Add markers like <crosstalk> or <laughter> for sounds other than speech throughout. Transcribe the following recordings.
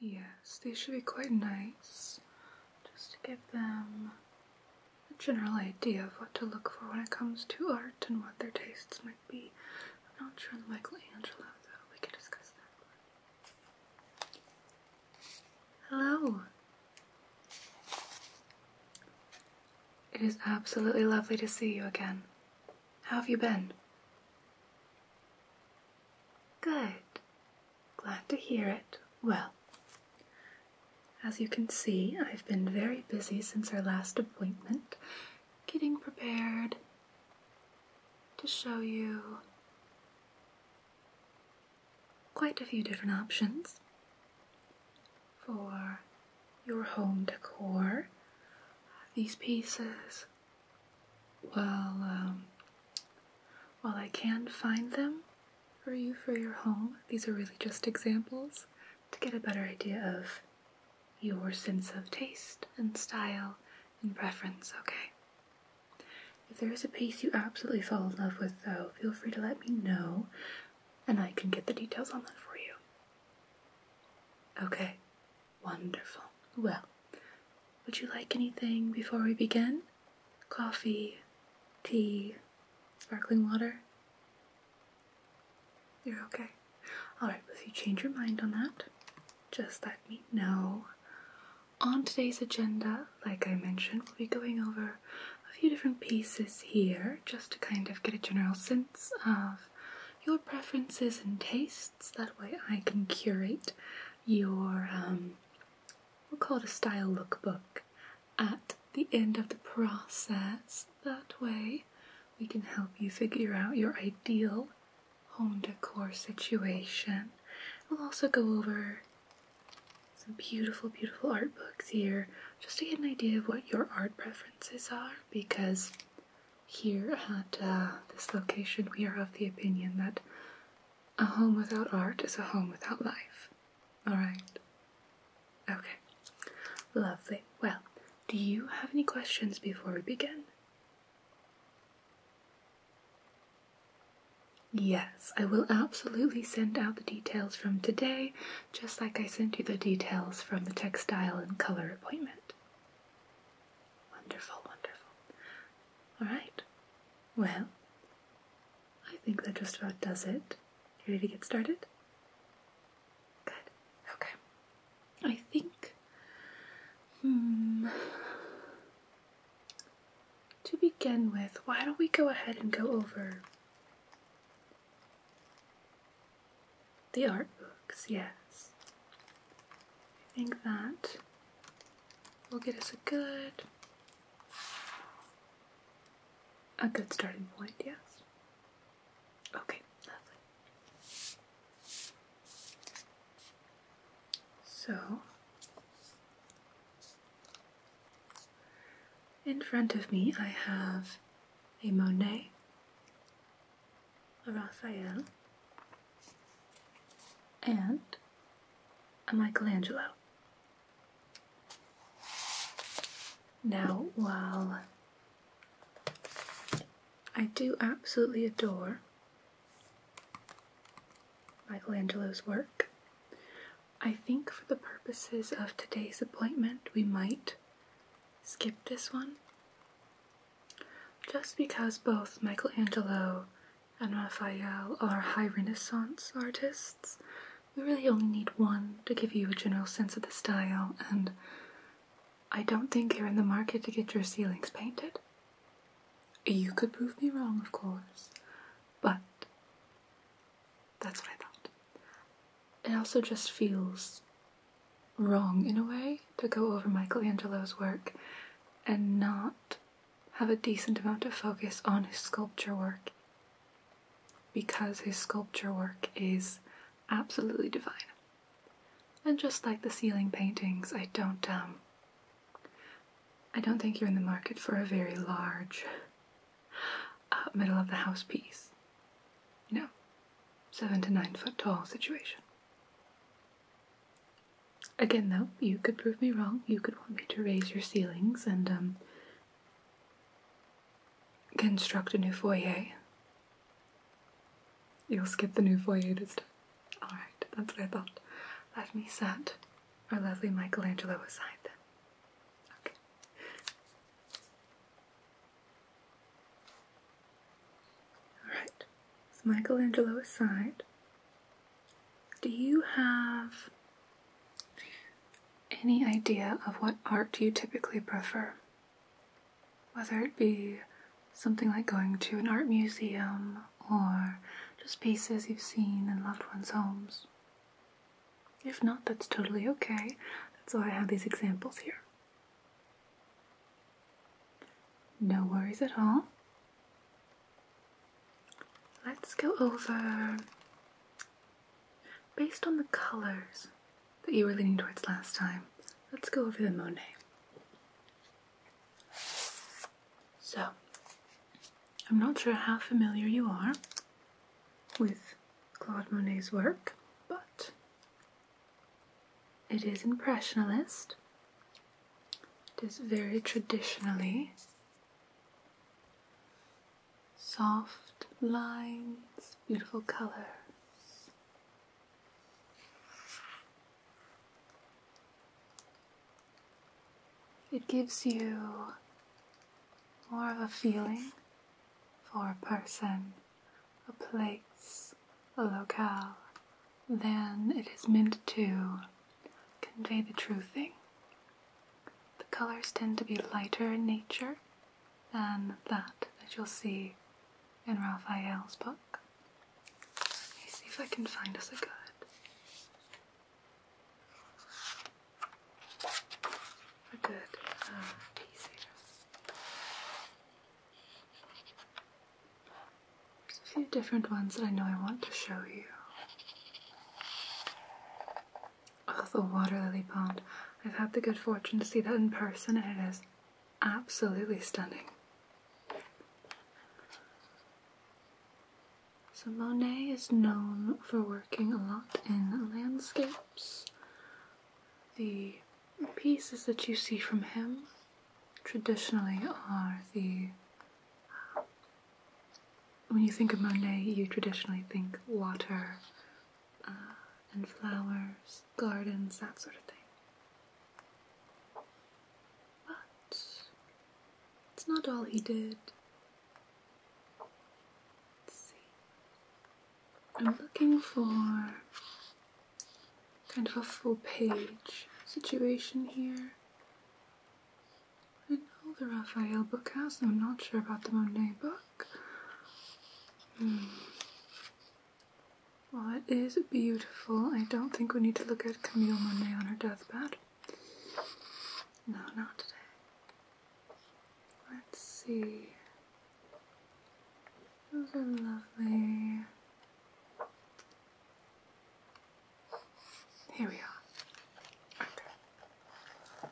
Yes, these should be quite nice just to give them a general idea of what to look for when it comes to art and what their tastes might be. I'm not sure on the Michelangelo though, we could discuss that. Hello! It is absolutely lovely to see you again. How have you been? Good. Glad to hear it. Well, as you can see, I've been very busy since our last appointment, getting prepared to show you quite a few different options for your home decor. These pieces well, um, I can find them for you for your home. These are really just examples to get a better idea of your sense of taste and style and preference, okay? If there is a piece you absolutely fall in love with, though, feel free to let me know and I can get the details on that for you. Okay, Wonderful. Well, would you like anything before we begin? Coffee, tea, sparkling water? You're okay. Alright, if you change your mind on that, just let me know. On today's agenda, like I mentioned, we'll be going over a few different pieces here just to kind of get a general sense of your preferences and tastes. That way I can curate your um, we'll call it a style lookbook at the end of the process. That way, we can help you figure out your ideal home decor situation. We'll also go over some beautiful, beautiful art books here just to get an idea of what your art preferences are because here at uh, this location we are of the opinion that a home without art is a home without life. Alright? Okay. Lovely. Well, do you have any questions before we begin? Yes, I will absolutely send out the details from today, just like I sent you the details from the textile and color appointment. Wonderful, wonderful. Alright, well, I think that just about does it. ready to get started? Good, okay. I think, hmm, to begin with, why don't we go ahead and go over the art books, yes. I think that will get us a good a good starting point, yes. Okay, So in front of me I have a Monet, a Raphael, and a Michelangelo. Now, while I do absolutely adore Michelangelo's work, I think for the purposes of today's appointment, we might skip this one. Just because both Michelangelo and Raphael uh, are high Renaissance artists. We really only need one to give you a general sense of the style, and I don't think you're in the market to get your ceilings painted. You could prove me wrong, of course, but that's what I thought. It also just feels wrong in a way to go over Michelangelo's work and not have a decent amount of focus on his sculpture work because his sculpture work is absolutely divine. And just like the ceiling paintings, I don't um I don't think you're in the market for a very large uh, middle of the house piece. You know, seven to nine foot tall situation. Again, though, you could prove me wrong. You could want me to raise your ceilings and um, construct a new foyer. You'll skip the new foyer this time. Alright, that's what I thought. Let me set our lovely Michelangelo aside then. Okay. Alright, so Michelangelo aside. Do you have any idea of what art you typically prefer? Whether it be something like going to an art museum or just pieces you've seen in loved ones' homes. If not, that's totally okay. That's why I have these examples here. No worries at all. Let's go over based on the colors that you were leaning towards last time. Let's go over the Monet. So, I'm not sure how familiar you are with Claude Monet's work, but it is impressionist it is very traditionally soft lines, beautiful colors. It gives you more of a feeling for a person, a place, a locale, then it is meant to convey the true thing. The colors tend to be lighter in nature than that that you'll see in Raphael's book. Let me see if I can find us a good. A good uh, there's a few different ones that I know I want to show you. Oh, the water lily pond. I've had the good fortune to see that in person and it is absolutely stunning. So Monet is known for working a lot in landscapes. The pieces that you see from him traditionally are the. When you think of Monet, you traditionally think water uh, and flowers, gardens, that sort of thing. But it's not all he did. Let's see. I'm looking for kind of a full page situation here. I know the Raphael book house, I'm not sure about the Monet book. Hmm. Well, it is beautiful. I don't think we need to look at Camille Monet on her deathbed. No, not today. Let's see. Those are lovely. Here we are. Okay.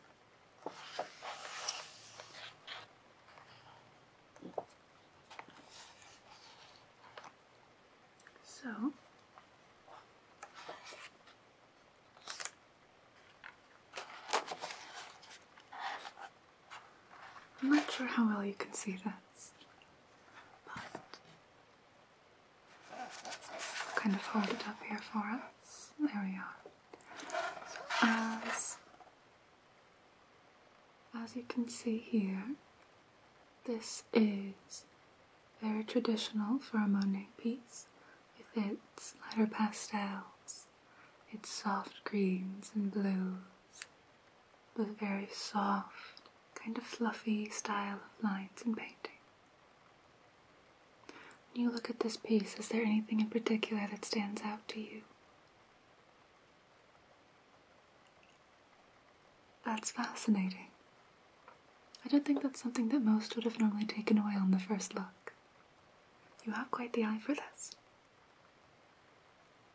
So I'm not sure how well you can see this, but kind of hold it up here for us. There we are. as, as you can see here, this is very traditional for a Monet piece with its lighter pastels, its soft greens and blues, with very soft kind of fluffy style of lines in painting. When you look at this piece, is there anything in particular that stands out to you? That's fascinating. I don't think that's something that most would have normally taken away on the first look. You have quite the eye for this.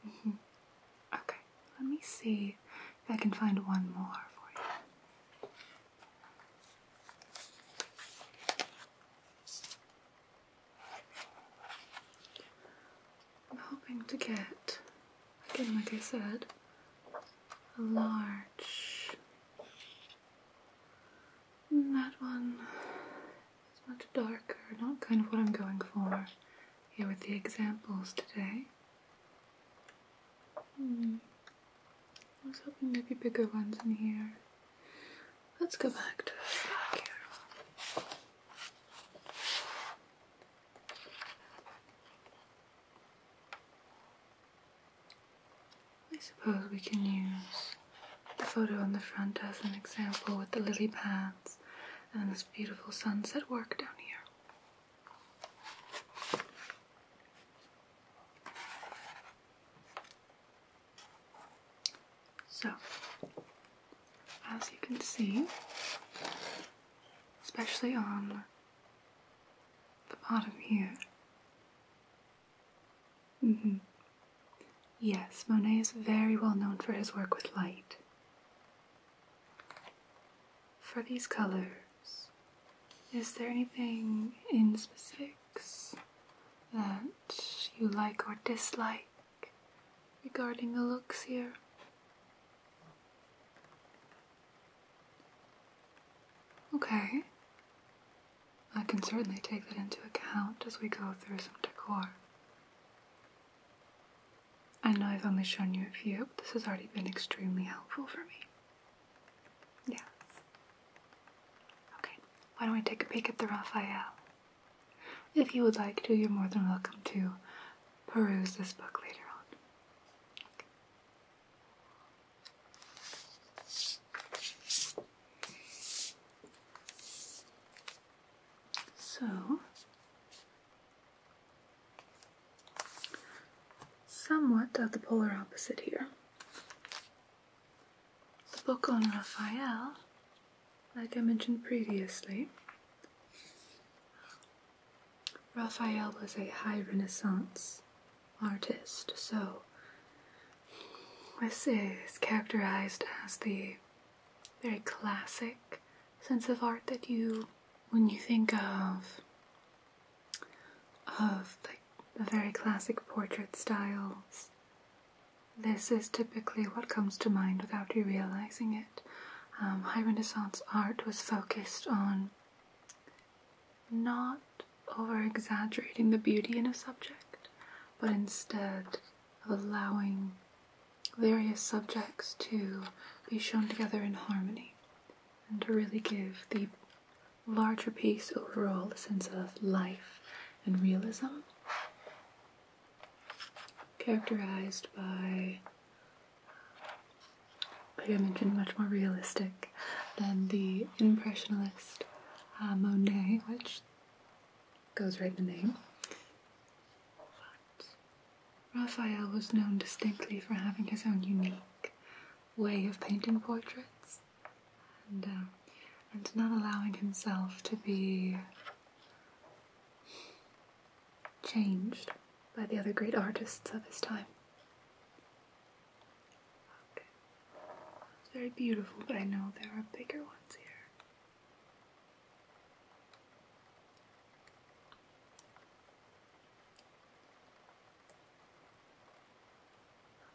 Mm-hmm. Okay, let me see if I can find one more for you. I'm hoping to get, again, like I said, a large. That one is much darker, not kind of what I'm going for here with the examples today. Hmm. I was hoping there'd be bigger ones in here. Let's go back to the here. I suppose we can use the photo on the front as an example with the lily pads and this beautiful sunset work down here. So, as you can see, especially on the bottom here. Mm -hmm. Yes, Monet is very well known for his work with light. For these colors, is there anything in specifics that you like or dislike regarding the looks here? Okay. I can certainly take that into account as we go through some decor. I know I've only shown you a few, but this has already been extremely helpful for me. Yes. Okay, why don't we take a peek at the Raphael? If you would like to, you're more than welcome to peruse this book later on. So, Somewhat of the polar opposite here. The book on Raphael, like I mentioned previously, Raphael was a high Renaissance artist, so this is characterized as the very classic sense of art that you, when you think of of the very classic portrait styles. This is typically what comes to mind without you realizing it. Um, high Renaissance art was focused on not over exaggerating the beauty in a subject, but instead of allowing various subjects to be shown together in harmony and to really give the larger piece overall a sense of life and realism, characterized by, like I mentioned, much more realistic than the impressionist uh, Monet, which goes right the name. Raphael was known distinctly for having his own unique way of painting portraits and, um, and not allowing himself to be changed by the other great artists of his time. very beautiful, I know there are bigger ones here.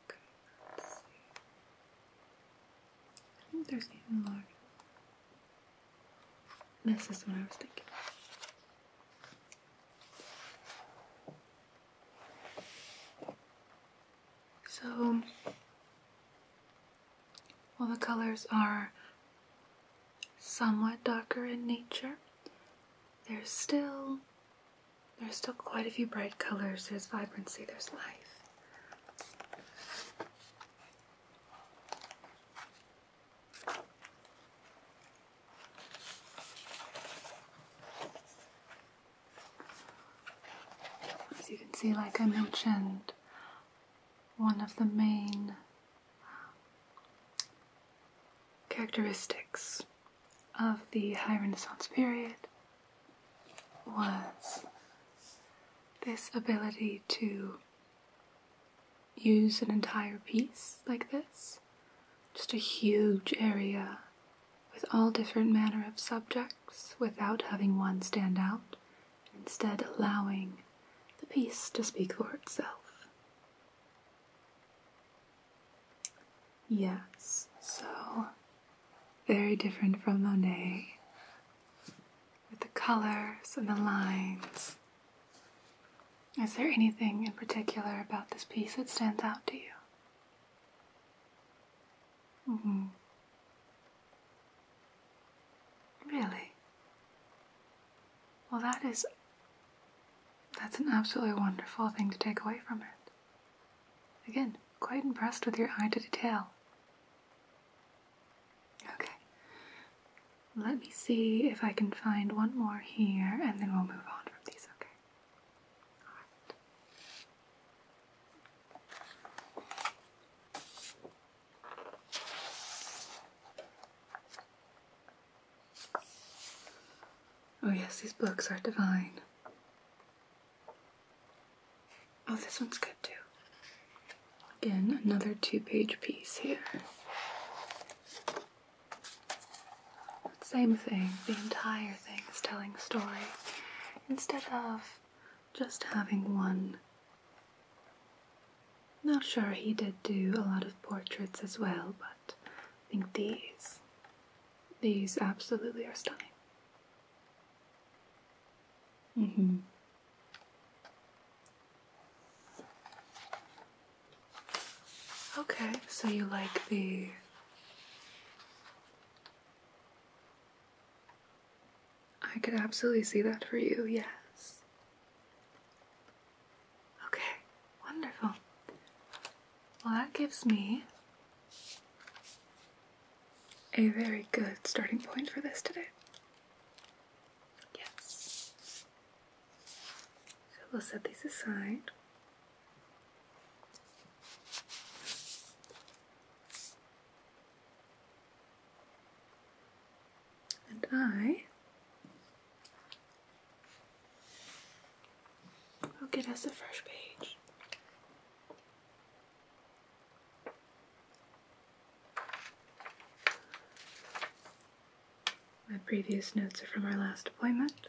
Okay, let's see. I think there's even larger. This is what I was thinking. So, all the colors are somewhat darker in nature, there's still there's still quite a few bright colors. There's vibrancy, there's life. As you can see, like I mentioned, one of the main characteristics of the High Renaissance period was this ability to use an entire piece like this, just a huge area with all different manner of subjects without having one stand out, instead allowing the piece to speak for itself. Yes, so very different from Monet with the colors and the lines. Is there anything in particular about this piece that stands out to you? Mm-hmm. Really? Well, that is. That's an absolutely wonderful thing to take away from it. Again, quite impressed with your eye to detail. Okay. Let me see if I can find one more here and then we'll move on from these, okay? Alright. Oh, yes, these books are divine. Oh, this one's good too. Again, another two page piece here. Same thing, the entire thing is telling a story instead of just having one. Not sure, he did do a lot of portraits as well, but I think these these absolutely are stunning. Mm-hmm. Okay, so you like the I could absolutely see that for you, yes. Okay, wonderful. Well, that gives me a very good starting point for this today. Yes. So we'll set these aside. And I Okay, that's a fresh page. My previous notes are from our last appointment.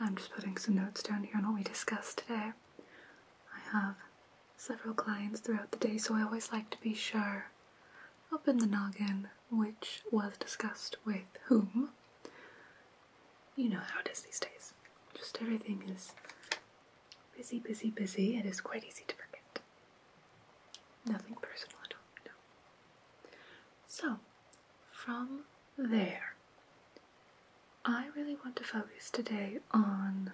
I'm just putting some notes down here on what we discussed today. I have several clients throughout the day, so I always like to be sure up in the noggin which was discussed with whom. You know how it is these days. Just everything is busy, busy, busy. It is quite easy to forget. Nothing personal at all, So, from there, I really want to focus today on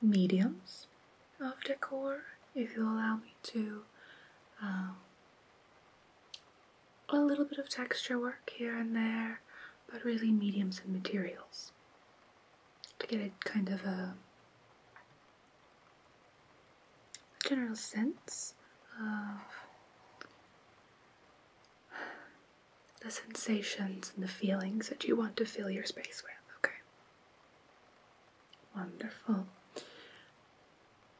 mediums of decor, if you'll allow me to. Um, a little bit of texture work here and there, but really mediums and materials to get a kind of a general sense of the sensations and the feelings that you want to fill your space with, okay? Wonderful.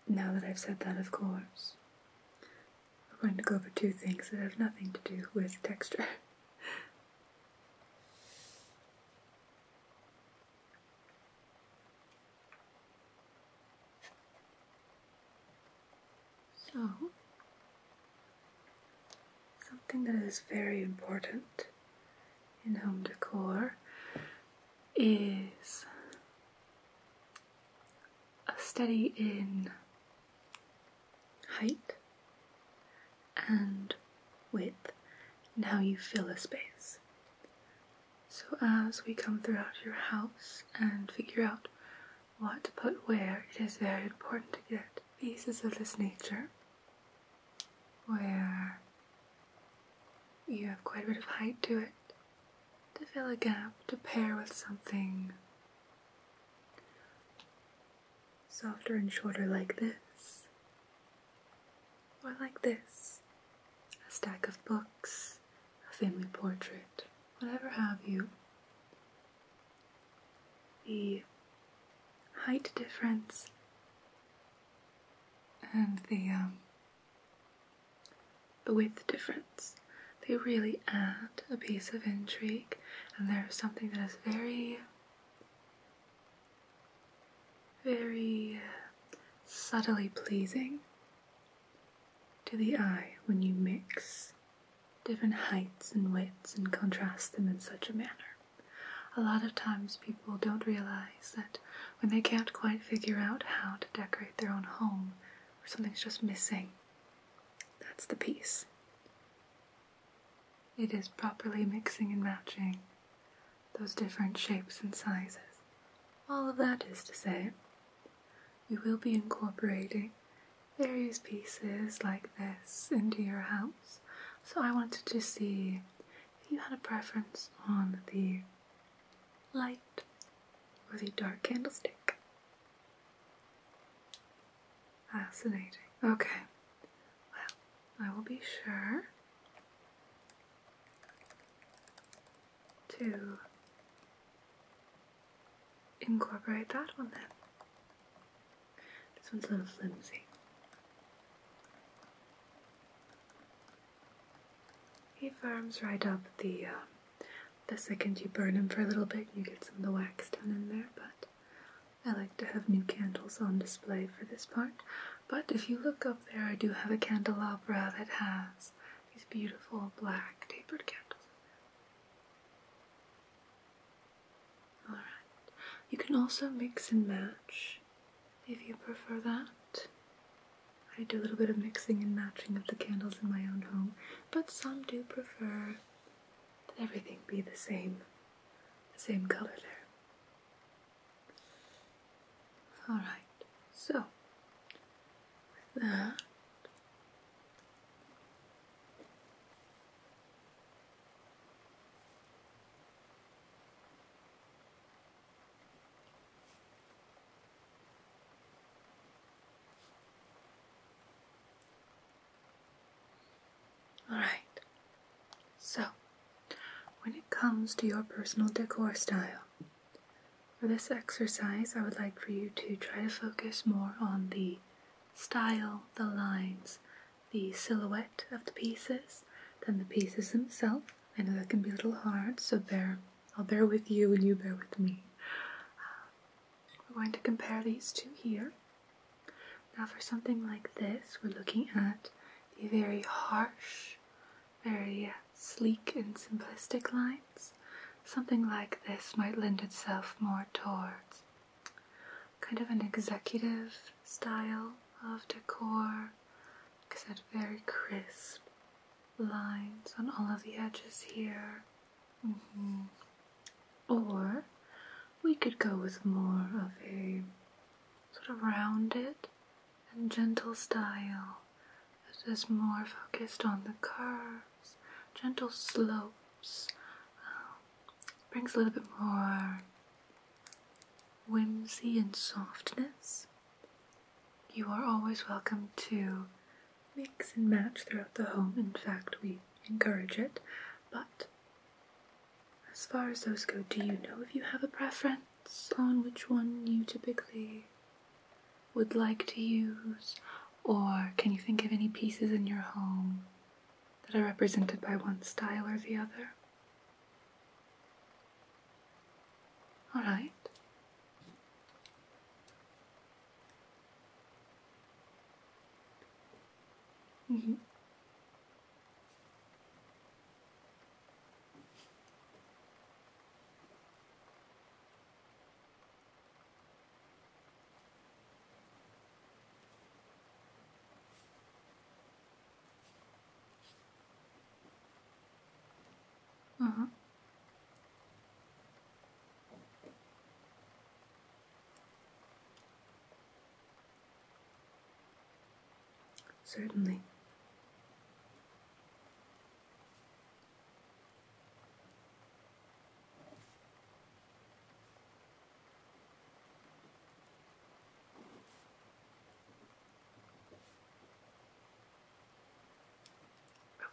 Now that I've said that, of course, we're going to go over two things that have nothing to do with texture. <laughs> <laughs> So, something that is very important in home decor is a study in height and width and how you fill a space. So, as we come throughout your house and figure out what put where, it is very important to get pieces of this nature where you have quite a bit of height to it to fill a gap, to pair with something softer and shorter like this, or like this, a stack of books a family portrait, whatever have you, the height difference and the, um, the width difference. They really add a piece of intrigue, and there's something that is very, very uh, subtly pleasing to the eye when you mix different heights and widths and contrast them in such a manner. A lot of times people don't realize that when they can't quite figure out how to decorate their own home or something's just missing, that's the piece. It is properly mixing and matching those different shapes and sizes. All of that is to say, you will be incorporating various pieces like this into your house. So I wanted to see if you had a preference on the light or the dark candlestick. Fascinating. Okay. Well, I will be sure to incorporate that one then. This one's a little flimsy. He firms right up the um, the second you burn him for a little bit, you get some of the wax down in there. But I like to have new candles on display for this part. But if you look up there, I do have a candelabra that has these beautiful black tapered candles. Alright, you can also mix and match if you prefer that. I do a little bit of mixing and matching of the candles in my own home, but some do prefer that everything be the same, the same color there. Alright, so with that, Alright, so when it comes to your personal decor style, for this exercise, I would like for you to try to focus more on the style, the lines, the silhouette of the pieces than the pieces themselves. I know that can be a little hard, so bear, I'll bear with you and you bear with me. we're going to compare these two here. Now for something like this, we're looking at a very harsh, very sleek and simplistic line Something like this might lend itself more towards kind of an executive style of decor. Like I said, very crisp lines on all of the edges here. Mm-hmm. Or we could go with more of a sort of rounded and gentle style that is more focused on the curve gentle slopes. Um, brings a little bit more whimsy and softness. You are always welcome to mix and match throughout the home. In fact, we encourage it. But as far as those go, do you know if you have a preference on which one you typically would like to use, or can you think of any pieces in your home that are represented by one style or the other? All right. Mm-hmm. Mm-hmm. Certainly.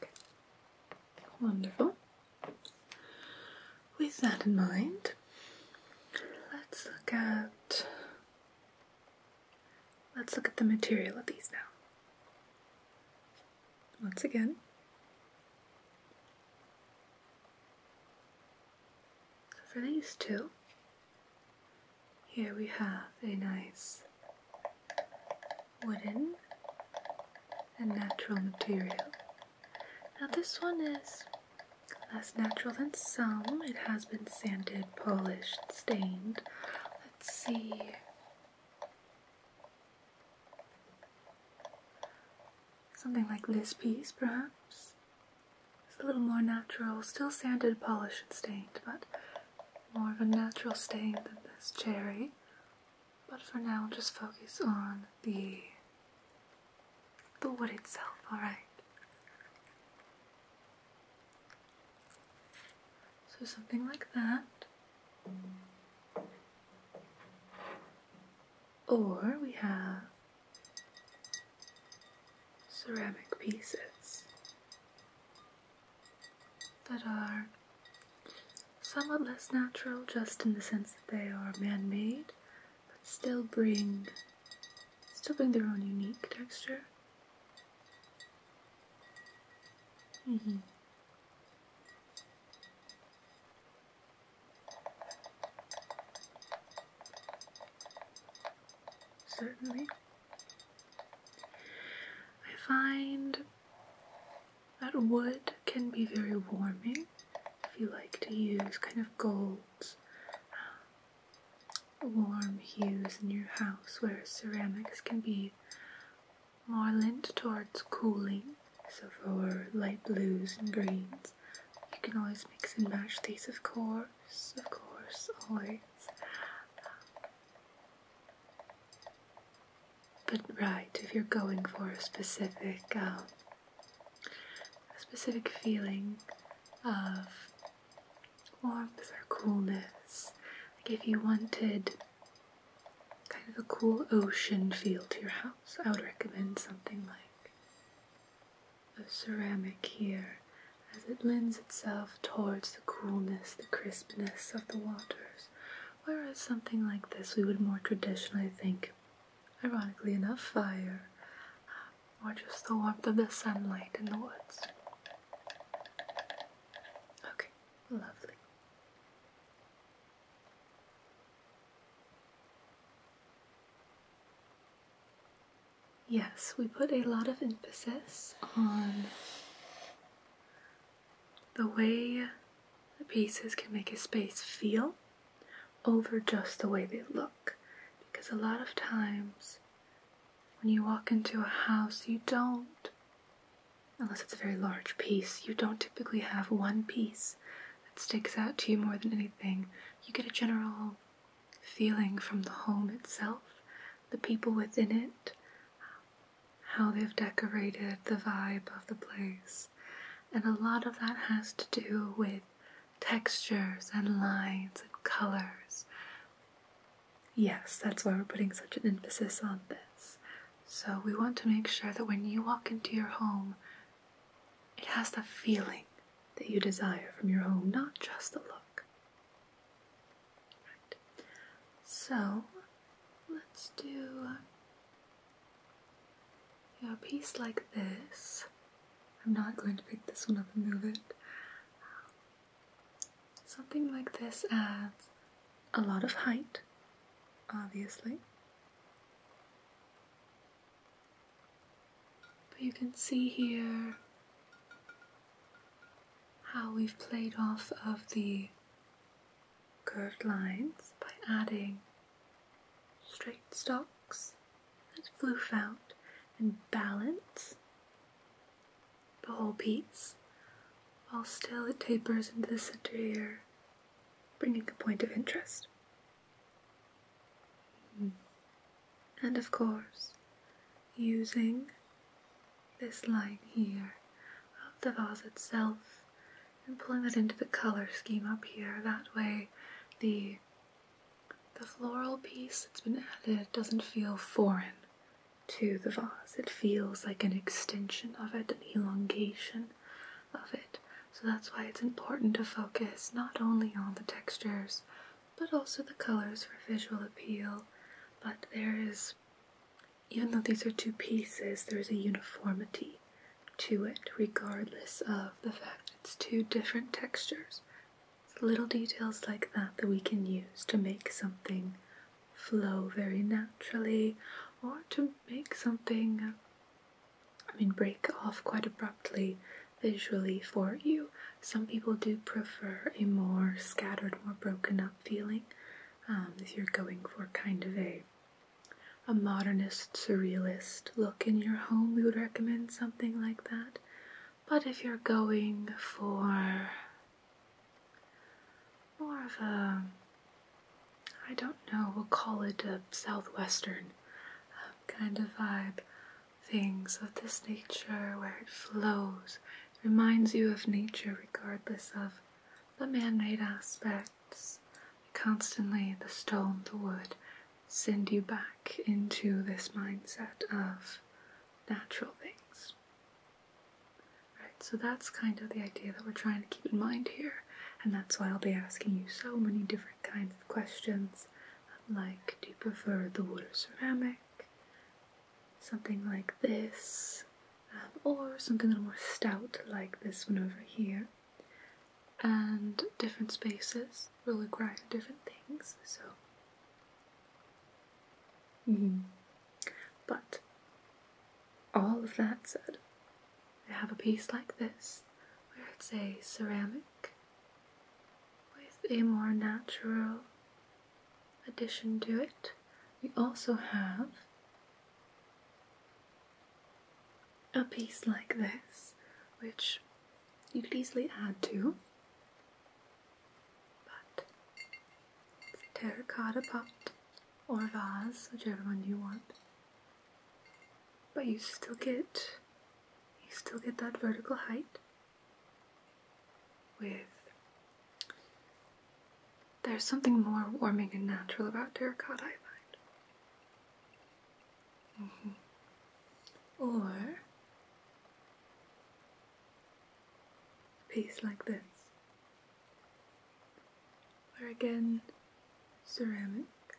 Okay, wonderful. With that in mind, let's look at let's look at the material of these now once again. for these two, here we have a nice wooden and natural material. Now this one is less natural than some. It has been sanded, polished, stained. Let's see Something like this piece, perhaps. It's a little more natural, still sanded, polished, and stained, but more of a natural stain than this cherry. But for now, just focus on the the wood itself, alright? So something like that. Or we have ceramic pieces that are somewhat less natural, just in the sense that they are man-made, but still bring still bring their own unique texture. Mm-hmm. Certainly. I find that wood can be very warming if you like to use kind of gold, um, warm hues in your house, whereas ceramics can be more lent towards cooling, so for light blues and greens, you can always mix and match these, of course, of course, always. But right, if you're going for a specific, um, a specific feeling of warmth or coolness, like if you wanted kind of a cool ocean feel to your house, I would recommend something like a ceramic here as it lends itself towards the coolness, the crispness of the waters. Whereas something like this, we would more traditionally think, ironically enough, fire uh, or just the warmth of the sunlight in the woods. Okay, lovely. Yes, we put a lot of emphasis on the way the pieces can make a space feel over just the way they look. Because a lot of times when you walk into a house, you don't Unless it's a very large piece, you don't typically have one piece that sticks out to you more than anything. You get a general feeling from the home itself, the people within it, how they've decorated, the vibe of the place. And a lot of that has to do with textures and lines and colors. Yes, that's why we're putting such an emphasis on this. So we want to make sure that when you walk into your home, it has the feeling that you desire from your home, not just the look. Right. So let's do a piece like this. I'm not going to pick this one up and move it. Something like this adds a lot of height, obviously. But you can see here how we've played off of the curved lines by adding straight stocks, and floof out and balance the whole piece while still it tapers into the center here bringing a point of interest. Hmm. And of course, using this line here of the vase itself and pulling it into the color scheme up here. That way, the the floral piece that's been added doesn't feel foreign to the vase. It feels like an extension of it, an elongation of it. So that's why it's important to focus not only on the textures but also the colors for visual appeal. But there is, even though these are two pieces, there's a uniformity to it regardless of the fact that it's two different textures. It's little details like that that we can use to make something flow very naturally or to make something I mean, break off quite abruptly visually for you. Some people do prefer a more scattered, more broken up feeling um, if you're going for kind of a a modernist, surrealist look in your home, we would recommend something like that. But if you're going for more of a, I don't know, we'll call it a southwestern uh, kind of vibe. Things of this nature where it flows, reminds you of nature regardless of the man made aspects. Constantly, the stone, the wood, send you back into this mindset of natural things. Right, so that's kind of the idea that we're trying to keep in mind here and that's why I'll be asking you so many different kinds of questions like do you prefer the wood or ceramic, something like this, um, or something a little more stout like this one over here, and different spaces will require different things, so. Mm-hmm. But all of that said, I have a piece like this where it's a ceramic with a more natural addition to it. We also have a piece like this, which you could easily add to, but terracotta pot or vase, whichever one you want but you still get you still get that vertical height with there's something more warming and natural about terracotta, I find. Mm-hmm. Or a piece like this. Or again ceramic,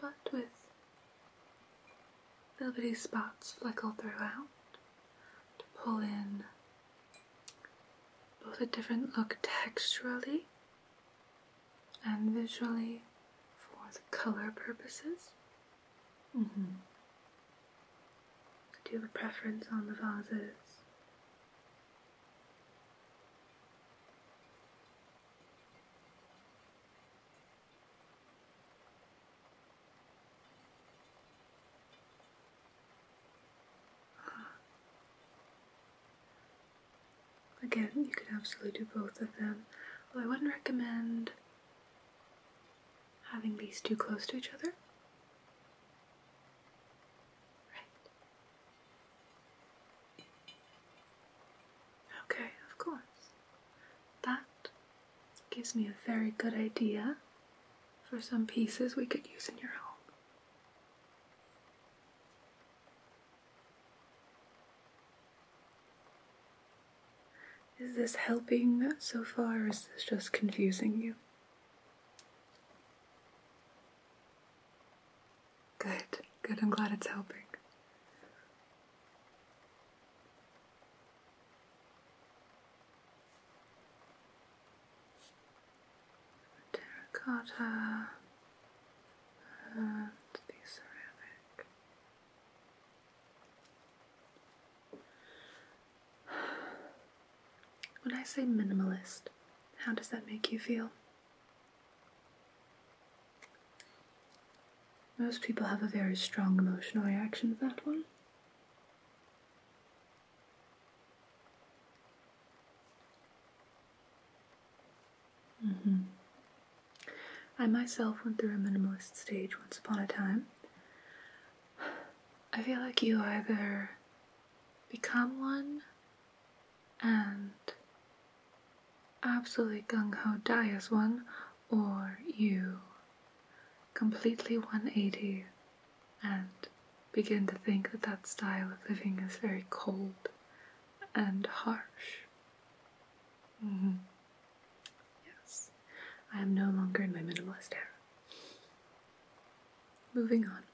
but with velvety spots fleckled throughout to pull in both a different look texturally and visually for the color purposes. Mm-hmm. Do you have a preference on the vases Again, you could absolutely do both of them, I wouldn't recommend having these too close to each other. Right. Okay, of course. That gives me a very good idea for some pieces we could use in your home. Is this helping so far, or is this just confusing you? Good, good. I'm glad it's helping. Terracotta and the ceramic. When I say minimalist, how does that make you feel? Most people have a very strong emotional reaction to that one. Mm-hmm. I myself went through a minimalist stage once upon a time. I feel like you either become one and absolutely gung ho die as one, or you completely 180 and begin to think that that style of living is very cold and harsh. Mm-hmm. Yes, I am no longer in my minimalist era. Moving on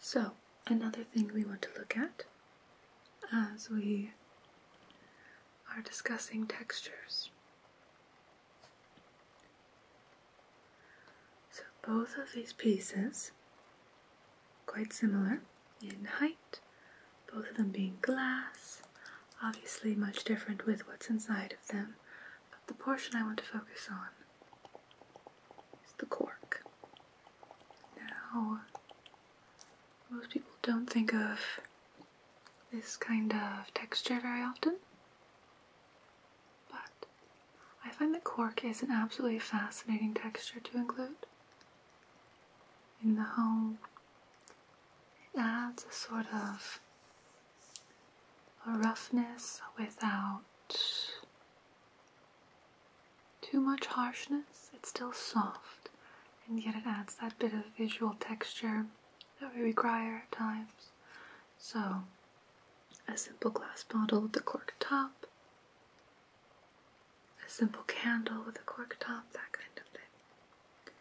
so, another thing we want to look at as we are discussing textures. So, both of these pieces, quite similar in height, both of them being glass, obviously much different with what's inside of them, but the portion I want to focus on is the cork. Now, most people don't think of this kind of texture very often, but I find that cork is an absolutely fascinating texture to include in the home. It adds a sort of a roughness without too much harshness, it's still soft, and yet it adds that bit of visual texture that we require at times. So, a simple glass bottle with a cork top, a simple candle with a cork top, that kind of thing.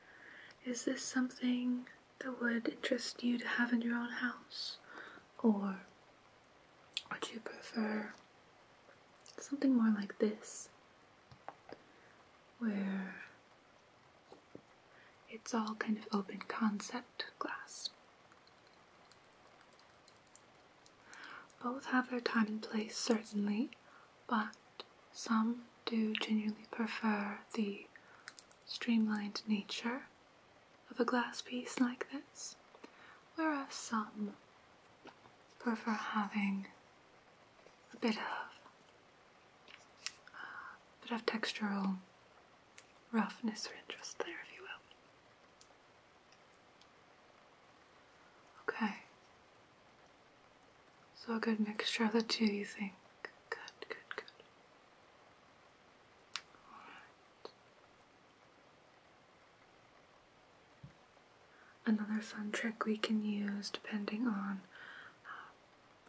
Is this something that would interest you to have in your own house? Or would you prefer something more like this, where it's all kind of open concept glass? Both have their time and place, certainly, but some do genuinely prefer the streamlined nature of a glass piece like this, whereas some prefer having a bit of a bit of textural roughness or interest there, if you will. Okay. So a good mixture of the two, you think? Good, good, good. All right. Another fun trick we can use depending on uh,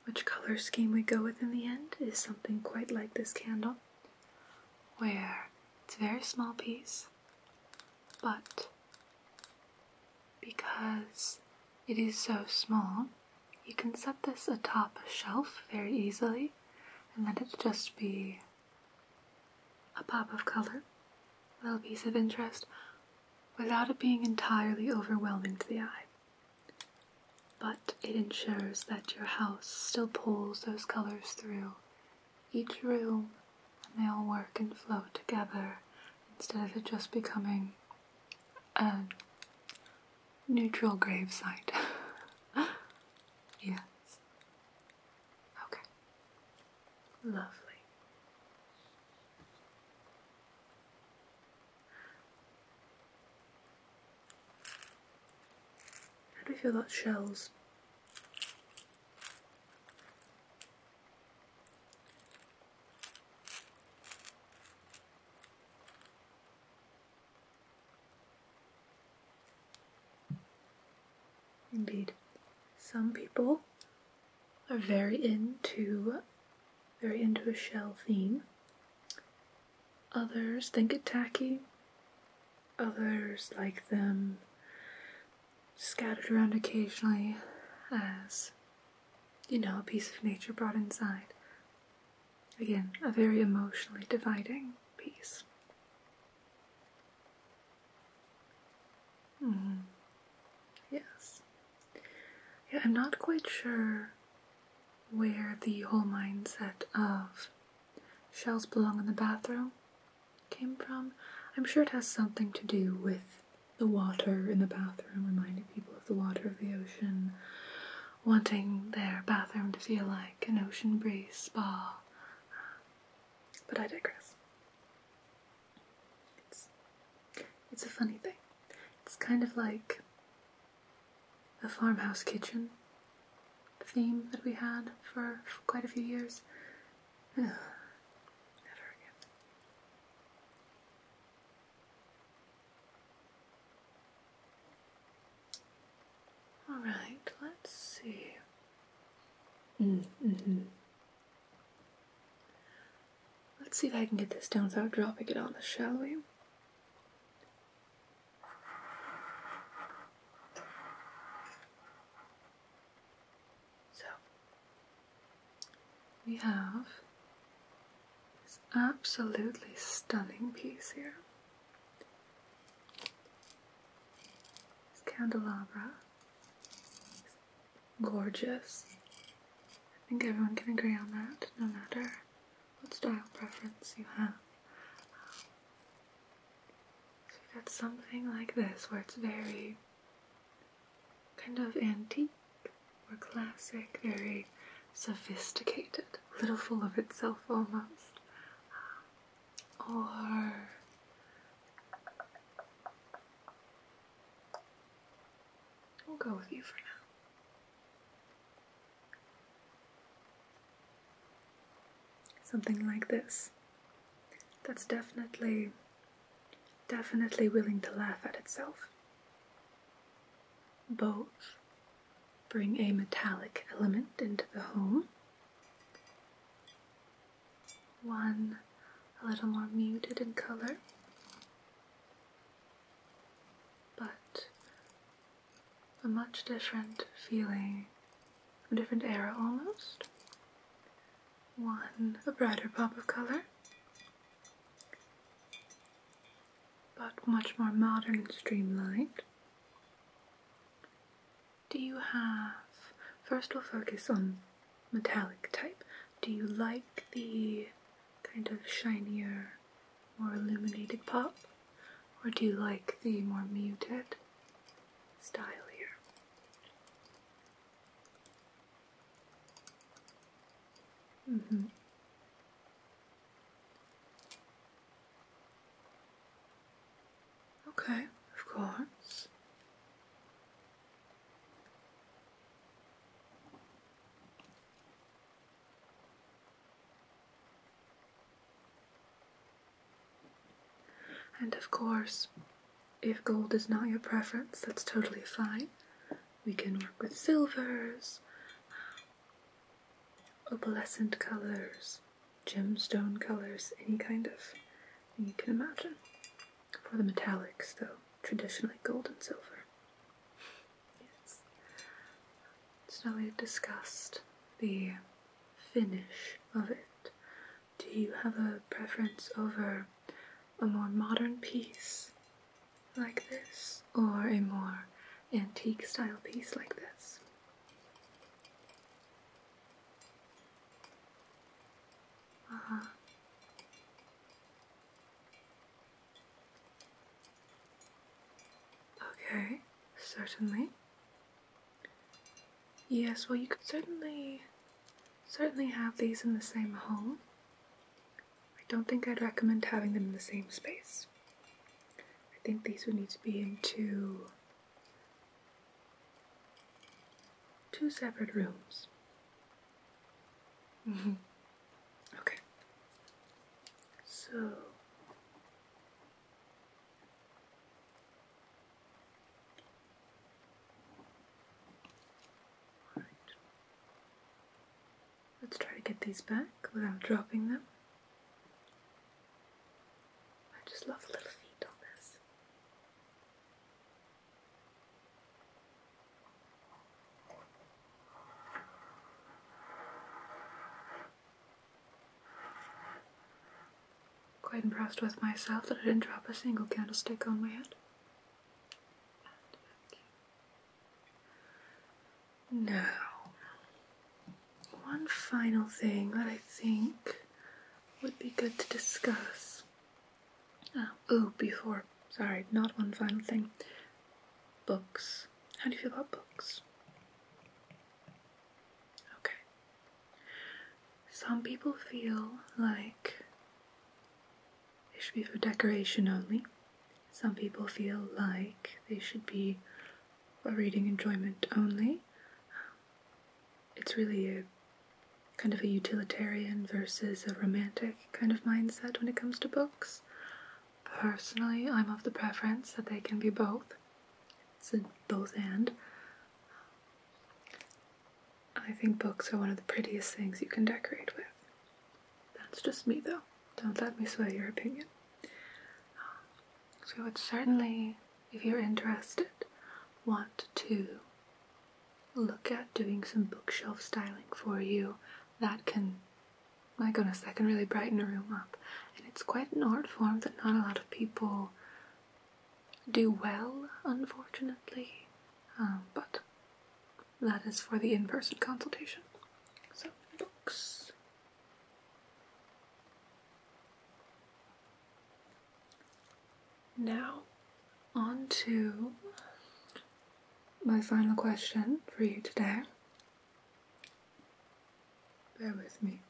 which color scheme we go with in the end is something quite like this candle where it's a very small piece but because it is so small you can set this atop a shelf very easily and let it just be a pop of color, a little piece of interest, without it being entirely overwhelming to the eye. But it ensures that your house still pulls those colors through each room and they all work and flow together instead of it just becoming a neutral grave site. <laughs> yes. Okay. Lovely. How do we feel about shells? Indeed, some people are very into very into a shell theme. Others think it tacky. Others like them scattered around occasionally as you know, a piece of nature brought inside. Again, a very emotionally dividing piece. -hmm. Yes. Yeah, I'm not quite sure where the whole mindset of shells belong in the bathroom came from. I'm sure it has something to do with the water in the bathroom, reminding people of the water of the ocean, wanting their bathroom to feel like an ocean breeze spa. But I digress. It's it's a funny thing. It's kind of like a farmhouse kitchen theme that we had for, quite a few years. Never again. All right, let's see. Mm, mm-hmm. Let's see if I can get this down without dropping it on us, shall we? So, we have this absolutely stunning piece here. This candelabra gorgeous. I think everyone can agree on that, no matter what style preference you have. so you've got something like this where it's very kind of antique or classic, very sophisticated, a little full of itself almost or we'll go with you for now. Something like this that's definitely, definitely willing to laugh at itself. Both bring a metallic element into the home one a little more muted in color, but a much different feeling, a different era almost. One a brighter pop of color, but much more modern and streamlined. Do you have. First, we'll focus on metallic type. Do you like the kind of shinier, more illuminated pop? Or do you like the more muted style here? Mm -hmm. Okay, of course. And of course, if gold is not your preference, that's totally fine. We can work with silvers, opalescent colors, gemstone colors, any kind of you can imagine. For the metallics, though, traditionally gold and silver. Yes. So we've discussed the finish of it. Do you have a preference over a more modern piece like this, or a more antique style piece like this? Uh Okay, certainly. Yes, well, you could certainly, certainly have these in the same home. I don't think I'd recommend having them in the same space. I think these would need to be in two Two separate rooms. Mm-hmm. Okay. So right. Let's try to get these back without dropping them. I just love little feet on this. Quite impressed with myself that I didn't drop a single candlestick on my head. Now, one final thing that I think would be good to discuss. oh, before, sorry, not one final thing. Books. How do you feel about books? Okay. Some people feel like they should be for decoration only. Some people feel like they should be for reading enjoyment only it's really a kind of a utilitarian versus a romantic kind of mindset when it comes to books. Personally, I'm of the preference that they can be both. It's a both and. I think books are one of the prettiest things you can decorate with. That's just me though. Don't let me sway your opinion. We would certainly if you're interested, want to look at doing some bookshelf styling for you that can, my goodness, that can really brighten a room up. And it's quite an art form that not a lot of people do well, unfortunately. Um, but that is for the in person consultation. So, books. Now, on to my final question for you today. Bear with me.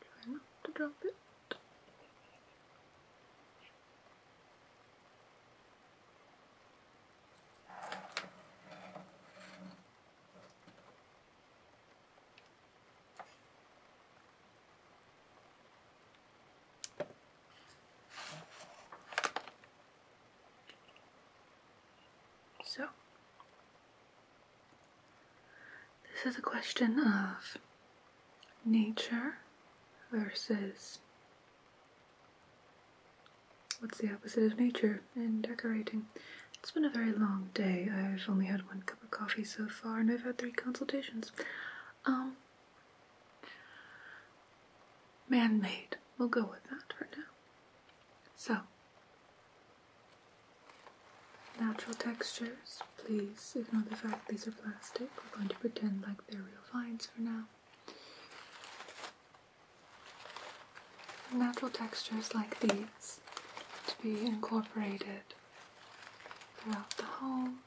Try not to drop it. So, this is a question of nature versus what's the opposite of nature? and decorating. It's been a very long day. I've only had one cup of coffee so far, and I've had three consultations. Um, man made. We'll go with that for now. So, natural textures. Please ignore the fact these are plastic. We're going to pretend like they're real vines for now. Natural textures like these to be incorporated throughout the home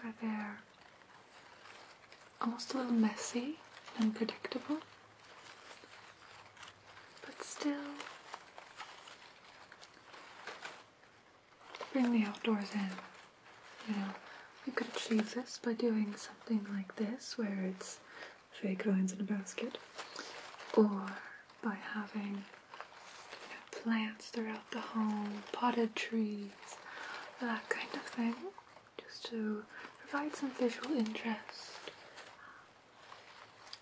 where they're almost a little messy and unpredictable, but still bring the outdoors in. You know, you could achieve this by doing something like this where it's fake vines in a basket, or by having plants throughout the home, potted trees, that kind of thing, just to provide some visual interest.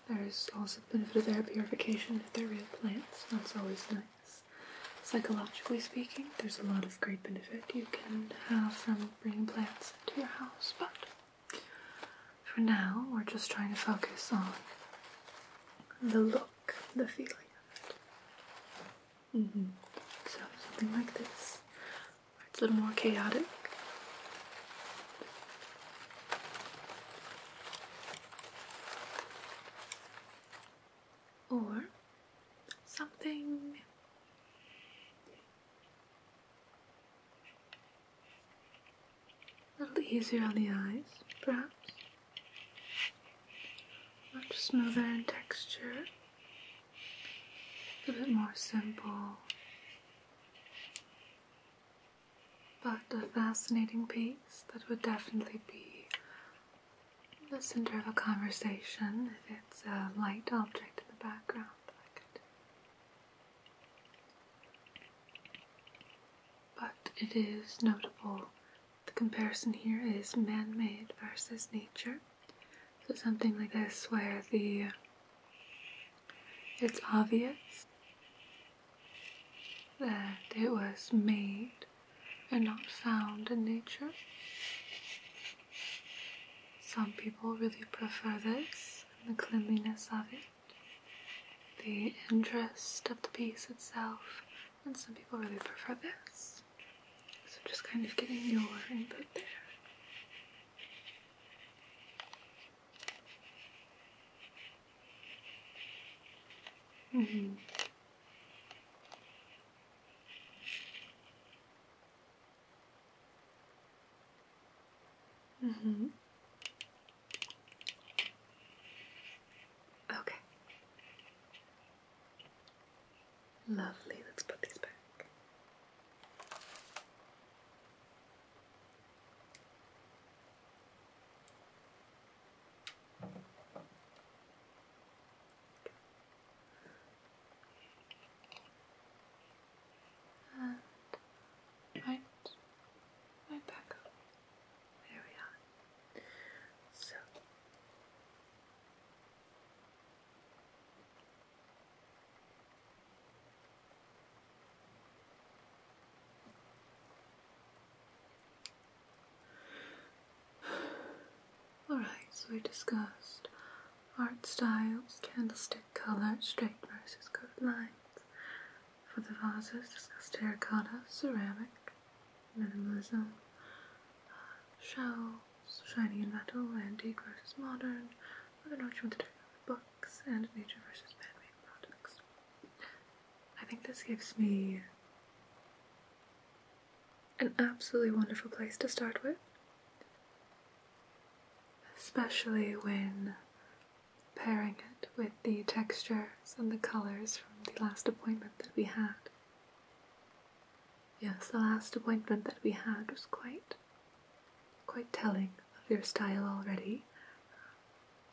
There's also the benefit of air purification if they're real plants. That's always nice. Psychologically speaking, there's a lot of great benefit you can have from bringing plants into your house, but for now, we're just trying to focus on the look, the feeling of it. Mm-hmm. So, something like this, it's a little more chaotic. Or something a little easier on the eyes, perhaps. Much smoother in texture. A bit more simple. But a fascinating piece that would definitely be the center of a conversation if it's a light object in the background. But it is notable the comparison here is man made versus nature. So something like this where the it's obvious that it was made and not found in nature. Some people really prefer this and the cleanliness of it the interest of the piece itself, and some people really prefer this. So, just kind of getting your input there. -hmm. Mm hmm. Okay. Lovely. Let's put these back and right, right back up. There we are. So. Alright, so we discussed art styles, candlestick color, straight versus curved lines. For the vases, discuss terracotta, ceramic, minimalism, uh, shells, shiny and metal, antique versus modern, with an option to take books, and nature versus man-made products. I think this gives me an absolutely wonderful place to start with, especially when pairing it with the textures and the colours from the last appointment that we had. Yes, the last appointment that we had was quite quite telling of your style already.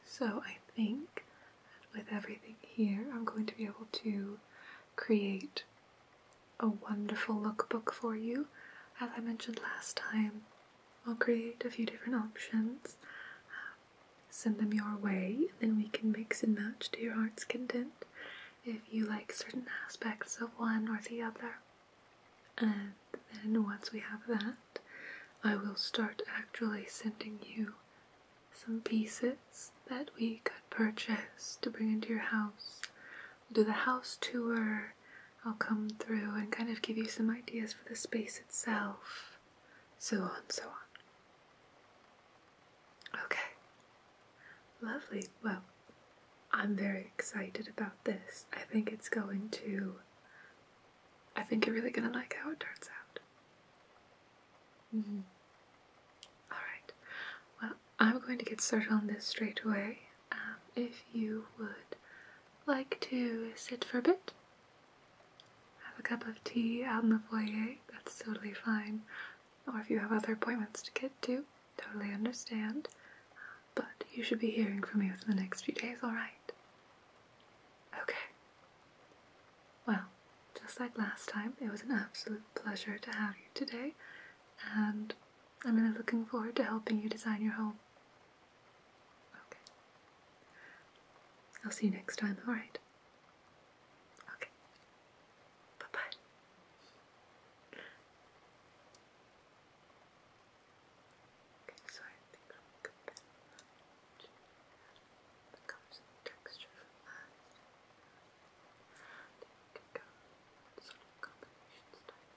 So I think with everything here, I'm going to be able to create a wonderful lookbook for you. As I mentioned last time, I'll create a few different options, send them your way, and then we can mix and match to your heart's content if you like certain aspects of one or the other. And then once we have that, I will start actually sending you some pieces that we could purchase to bring into your house. We'll do the house tour I'll come through and kind of give you some ideas for the space itself, so on, so on. Okay, lovely. Well, I'm very excited about this. I think it's going to. I think you're really gonna like how it turns out. -hmm. Alright, well, I'm going to get started on this straight away. Um, if you would like to sit for a bit, have a cup of tea out in the foyer, that's totally fine. Or if you have other appointments to get to, totally understand. But you should be hearing from me within the next few days, alright? Okay. Well, just like last time, it was an absolute pleasure to have you today, and I'm really looking forward to helping you design your home. Okay. I'll see you next time, alright? Okay. Bye bye. Okay, so I think I'm good. The colors and texture I think go sort of combination style.